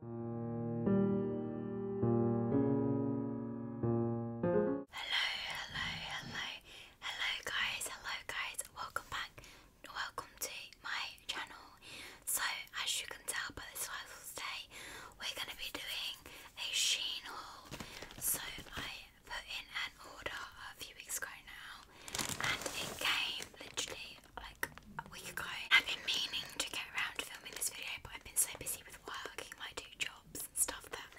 hello, hello, hello guys, hello guys, welcome back, welcome to my channel. So as you can tell by the title today, we're going to be doing a Sheen haul. So I put in an order a few weeks ago now and it came literally like a week ago. I've been meaning to get around to filming this video, but I've been so busy with working my two jobs and stuff that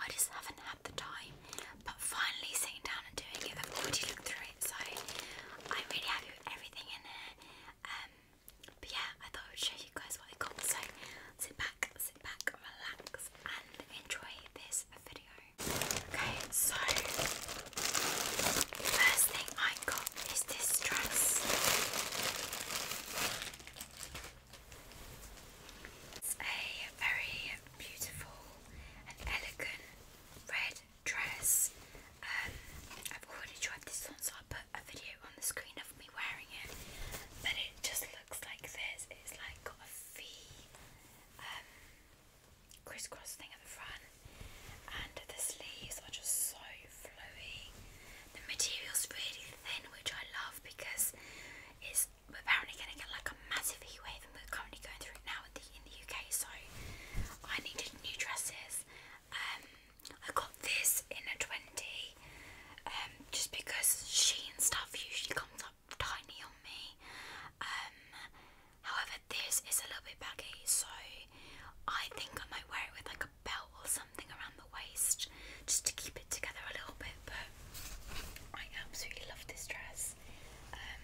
I just haven't had the time. But finally sitting down and doing it, I've already looked through it, so I'm really happy with everything in it. Um, but yeah, I thought I would show you guys what I got. So sit back, sit back, relax, and enjoy this video. Okay, so first thing I I got this dress. It's a very beautiful and elegant red dress. Um, I've already tried this one, so I'll put a video on the screen of me wearing it. But it just looks like this. It's like got a V um, crisscross thing at the front and the sleeves are just so flowy. The material's really thin, which I love because it's apparently going to get like a massive heat and we're currently going through it now in the, UK. So I needed new dresses. Um, I got this in a twenty, um, just because Sheen stuff usually comes up tiny on me. Um, however, this is a little bit baggy, so I think I might wear it with like a belt or something around the waist just to keep it together a little bit. But I absolutely love this dress. Um,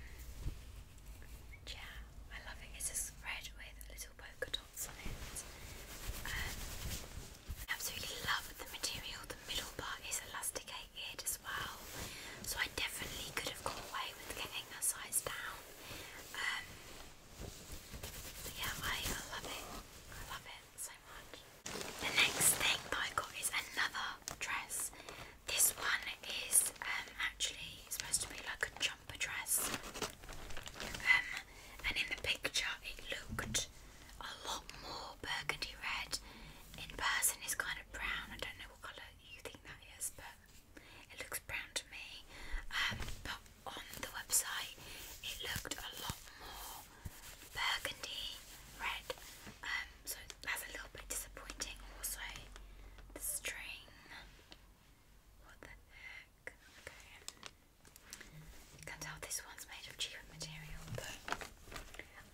yeah, I love it. It's just red with little polka dots on it. Um, I absolutely love the material. The middle part is elasticated as well, so I definitely could have gone away with getting a size down. Um, yeah, I love it. I love it so much. The next thing that I got is another dress. This one is um, actually supposed to be like a jumper dress. Um, and in the picture it looked a lot more burgundy red. In person it's kind of brown. I don't know what colour you think that is, but it looks brown to me. Um, but on the website it looked a lot more burgundy red. Um, so that's a little bit disappointing. Also, the string. What the heck? You can tell this one's made of cheaper material, but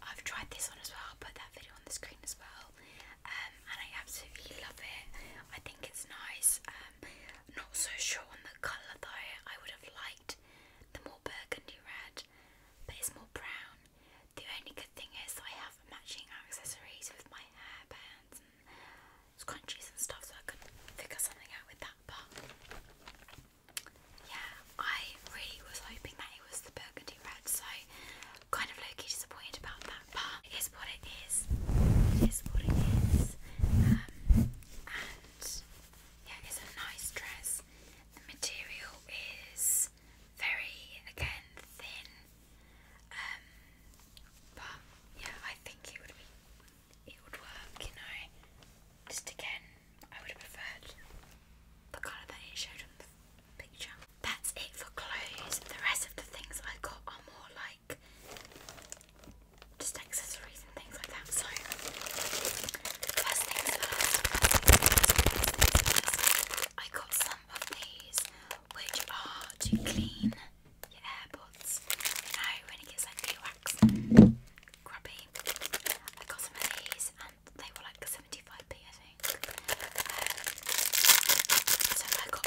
I've tried this one as well. I'll put that video on the screen as well. Um, and I absolutely love it. I think think it's nice. Um, not so sure on the colour though. I would have liked the more burgundy red, but it's more brown. The only good thing is that I have matching accessories with my hairbands and scrunchies and stuff, so I could figure something out with that. But yeah, I really was hoping that it was the burgundy red, so kind of low key disappointed about that. part it is what it is. It is what it is. Um, and yeah, it's a nice dress. The material is very, again, thin. Um, but yeah, I think it would be, it would work, you know. Just again, I would have preferred the colour that it showed on the picture. That's it for clothes. The rest of the things I got are more like just accessories and things like that. So first things first, I got some of these, which are to clean your AirPods. You know when it gets like glue wax grubby. I got some of these and they were like 75p I think. Um, so I got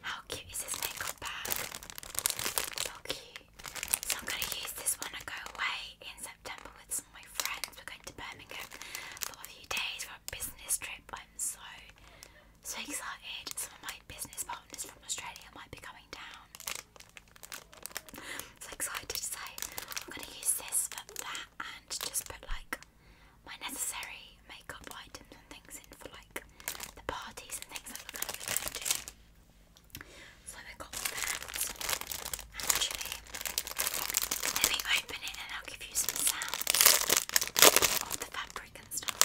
How cute is this makeup bag? So cute. So I'm gonna use this when I go away in September with some of my friends. We're going to Birmingham for a few days for a business trip. I'm so so excited. Some of my business partners from Australia might be coming down. so excited to I'm gonna use this for that and just put like like my necessary makeup items and things in for like the parties and things that we going to do. So I got Actually, let me open it and I'll give you some sounds of the fabric and stuff.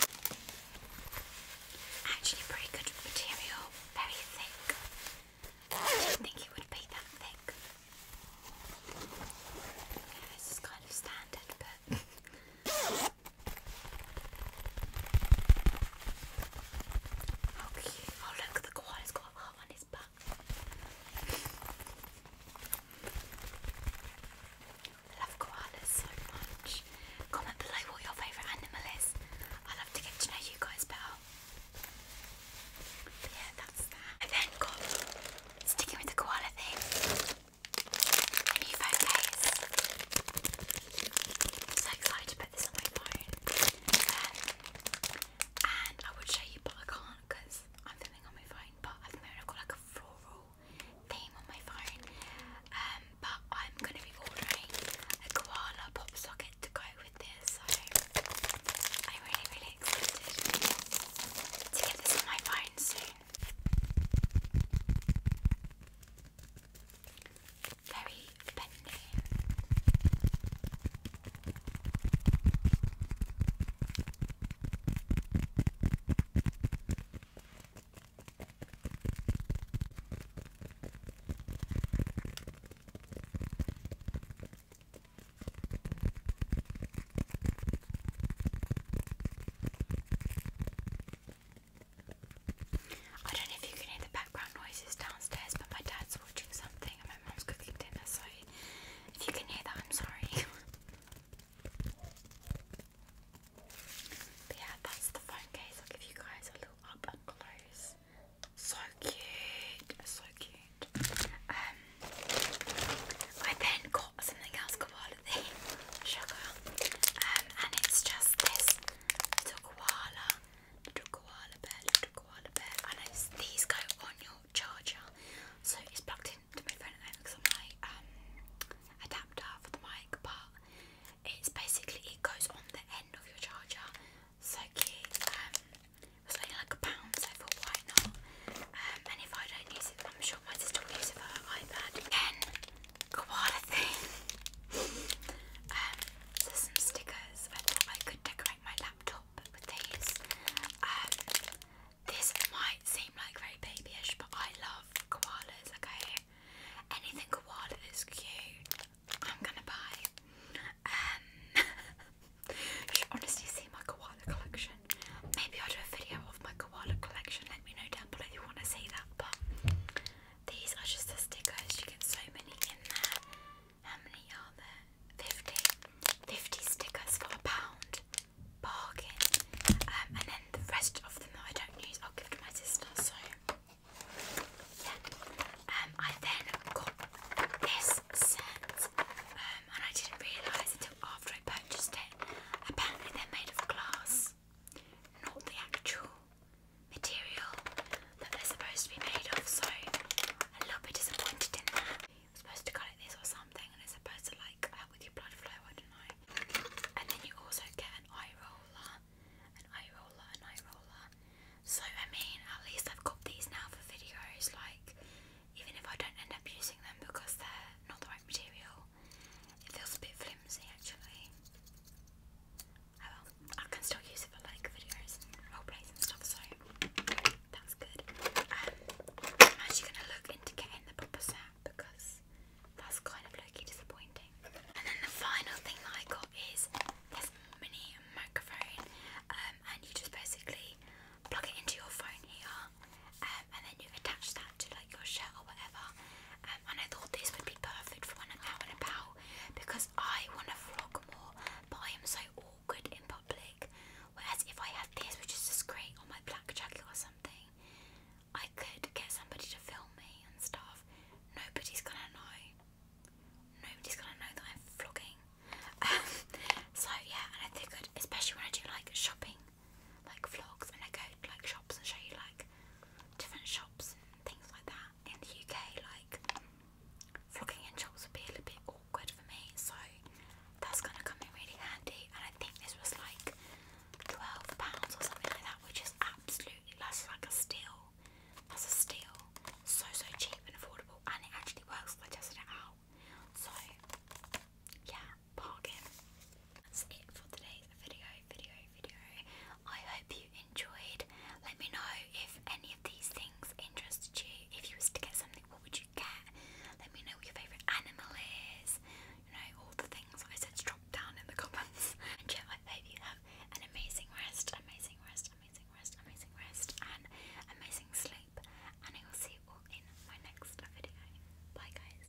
Actually, pretty good material, very thick. didn't think it would be that thick. Yeah, this is kind of standard, but How Oh look, the koala's got a heart on his back. I love koalas so much. Comment below what your favourite animal is. I love to get to know you guys better. But yeah, that's that. I then got sticking with the koala thing. New phone case. I'm so excited to put this on my phone. Um, and I would show you, but I can't because I'm filming on my phone. But I've got like a floral theme on my phone. Um, but I'm going to be ordering a koala pop socket to go with this. So I'm really, really excited to get this on my phone soon. Very bendy. I don't know if you can hear the background noises downstairs, but my dad's watching something and my mom's cooking dinner, so if you can hear that, I'm sorry. but yeah, that's the phone case. I'll give you guys a little up and close. So cute, so cute. Um, I then something else koala the sugar, and it's just this little koala, little koala bear, little koala bear, and these go on your charger, so it's plugged into my phone at the moment because I'm like um, adapter for the mic, but it's basically it goes on the end of your charger. So cute. Um, only like a pound, so I thought why um, and if I don't use it, I'm sure my sister will use it for her iPad. Then, koala thing. um, some stickers. I thought I could decorate my laptop with these. Um, this might seem like very babyish, but I love koalas. Okay, anything koala is cute. I'm gonna buy. Um, you should honestly see my koala collection. Maybe I'll do a video of my koala collection. Let me know down below if you want to see that. But these are just the stickers. You get so many in there. How many are there? 50. 50 stickers for a pound. Bargain. Um, and then the rest of them that I don't use, I'll give to my sister. So, yeah. Um, I then got this set. Um, and I didn't realise until after I purchased it Apparently they're made of glass, not the actual material that they're supposed to be made of, so a little bit disappointed in that. supposed to cut it this or something and it's supposed to like help with your blood flow, I don't know. And then you also get an eye roller, an eye roller, an eye roller. So I mean at least I've got these now for videos, like even if I don't end up using them because they're not the right material, it feels a bit flimsy actually. Oh, well, I can still use it for like videos roleplays and stuff, so that's good. Um, I'm actually gonna look into getting the proper set because that's kind of low disappointing. And then the final thing that I got is this mini microphone, um, and you just basically plug it into your phone here, um, and then you attach that to like your shirt or whatever. Um, and I thought this would be perfect for when I'm out and about because I want to vlog more, but I am so awkward in public. Whereas if I had this, which is just great on my black jacket or something, I could get somebody to film me and stuff. Nobody's gonna know. Nobody's gonna know that I'm vlogging. Um, so yeah, and I figured, especially when I do like shopping like vlogs and I go to like shops and show you like different shops and things like that. In the UK, like vlogging in shops would be a little bit awkward for me, so that's gonna come in really handy. And I think this was like twelve pounds or something like that, which is absolutely that's like a steal. That's a steal. So so cheap and affordable, and it actually works. I tested it out. So yeah, that's it for today's video, video, video. I hope you enjoyed. Let me know if any of these things interested you. If you was to get something, what would you get? Let me know what your favourite animal is. You know, all the things I said drop down in the comments. And yeah, I hope have an amazing rest, amazing rest, amazing rest, amazing rest, and amazing sleep. And I will see you all in my next video. Bye guys.